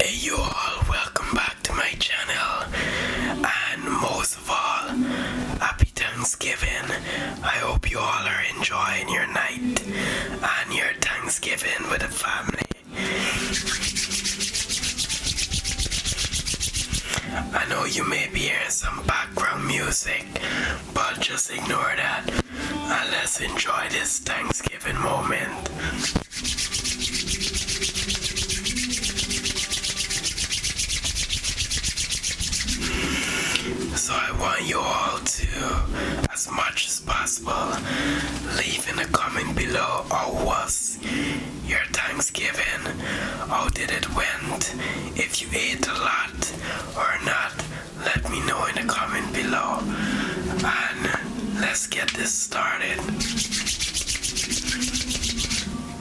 Hey you all, welcome back to my channel and most of all, happy Thanksgiving. I hope you all are enjoying your night and your Thanksgiving with the family. I know you may be hearing some background music, but just ignore that and let's enjoy this Thanksgiving moment. So I want you all to, as much as possible, leave in a comment below how was your Thanksgiving, how did it went, if you ate a lot or not, let me know in a comment below. And Let's get this started.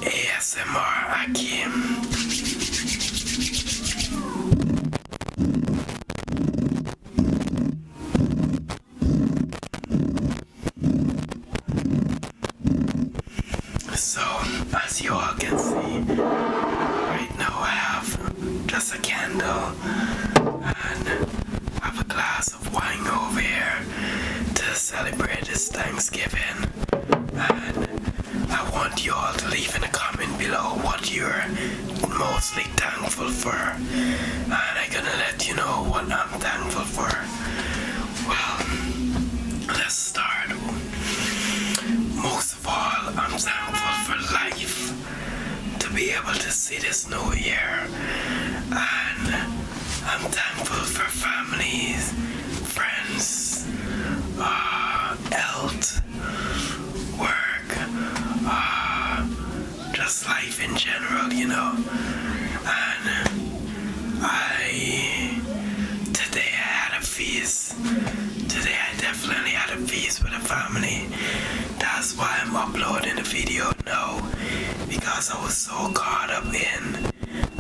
ASMR aqui. So, as you all can see, right now I have just a candle have a glass of wine over here to celebrate this Thanksgiving. And I want you all to leave in a comment below what you're mostly thankful for. And I'm gonna let you know what I'm thankful for. Well, let's start. Most of all, I'm thankful for life to be able to see this new year. And I'm thankful for families, friends, uh, health, work, uh, just life in general, you know. And I, today I had a feast. Today I definitely had a feast with a family. That's why I'm uploading the video now because I was so caught up in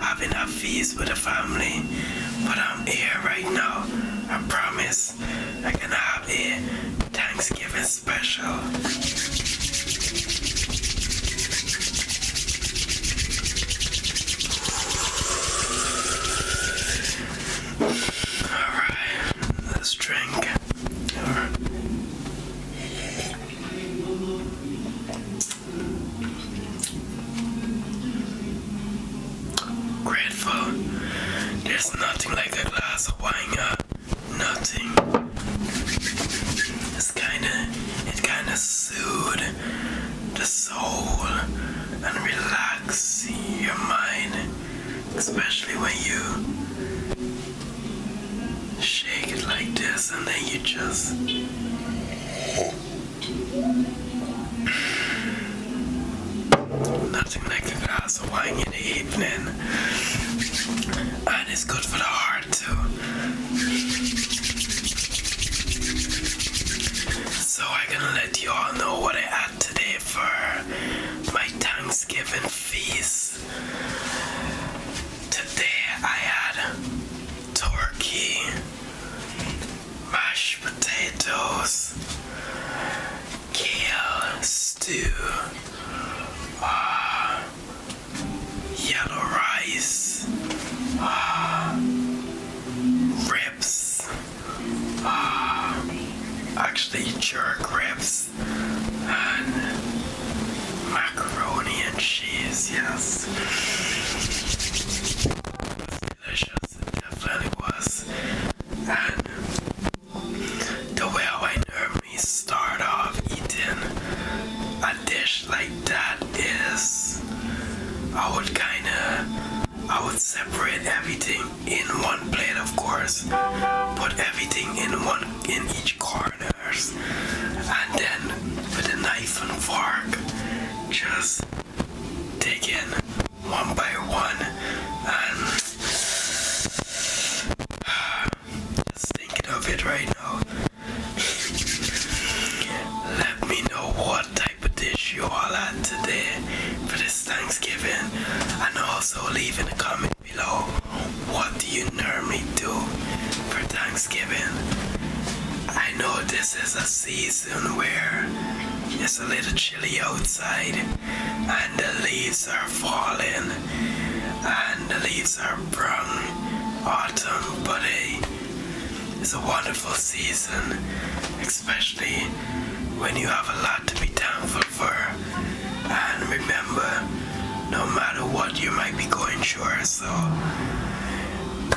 having a feast with the family. But I'm here right now. I promise I can have a Thanksgiving special. All right. Let's drink. Grateful. There's nothing like a glass of wine. Uh, nothing. It's kinda, it kinda soothes the soul and relax your mind especially when you shake it like this and then you just nothing like a glass of wine in the evening and it's good for the heart too so I can let you all know what I today for my Thanksgiving feast. Today I had turkey, mashed potatoes, kale stew, uh, yellow rice, uh, ribs, uh, actually jerk ribs macaroni and cheese, yes. delicious, it definitely was. And the way I normally start off eating a dish like that is I would kinda I would separate everything in one plate of course put everything in one in each corners and then with a knife and fork just dig in one by one and just thinking of it right now let me know what type of dish you all had today Thanksgiving. And also leave in the comment below what do you normally do for Thanksgiving. I know this is a season where it's a little chilly outside and the leaves are falling and the leaves are brown autumn buddy, hey it's a wonderful season especially when you have a lot to be thankful and remember, no matter what you might be going through, so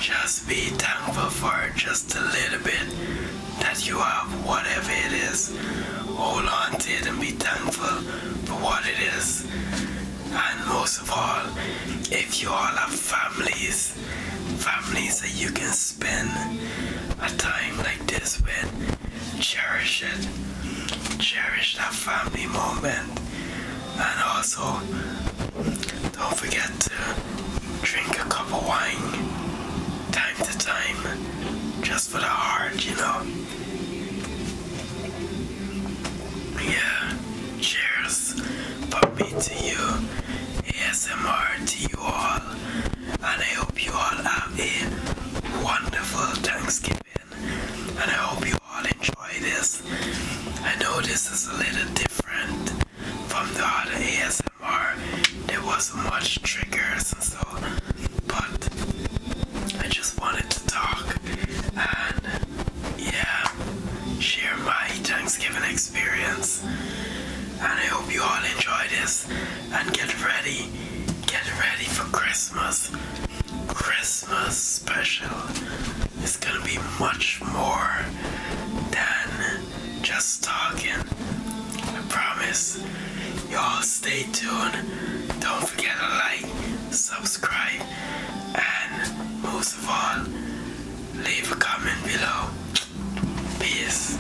just be thankful for just a little bit that you have, whatever it is. Hold on to it and be thankful for what it is. And most of all, if you all have families, families that you can spend a time like this with. Cherish it. Cherish that family moment. And also, don't forget to drink a cup of wine time to time. Just for the heart, you know. Yeah, cheers for me to you, ASMR to you all and I hope you all have a wonderful Thanksgiving. And I hope you all enjoy this. I know this is a little different from the other ASMR. There wasn't much triggers and so, but I just wanted to talk and yeah, share my Thanksgiving experience. And I hope you all enjoy this and get ready, get ready for Christmas. Christmas special is gonna be much more than just talking. I promise. Y'all stay tuned. Don't forget to like, subscribe, and most of all, leave a comment below. Peace.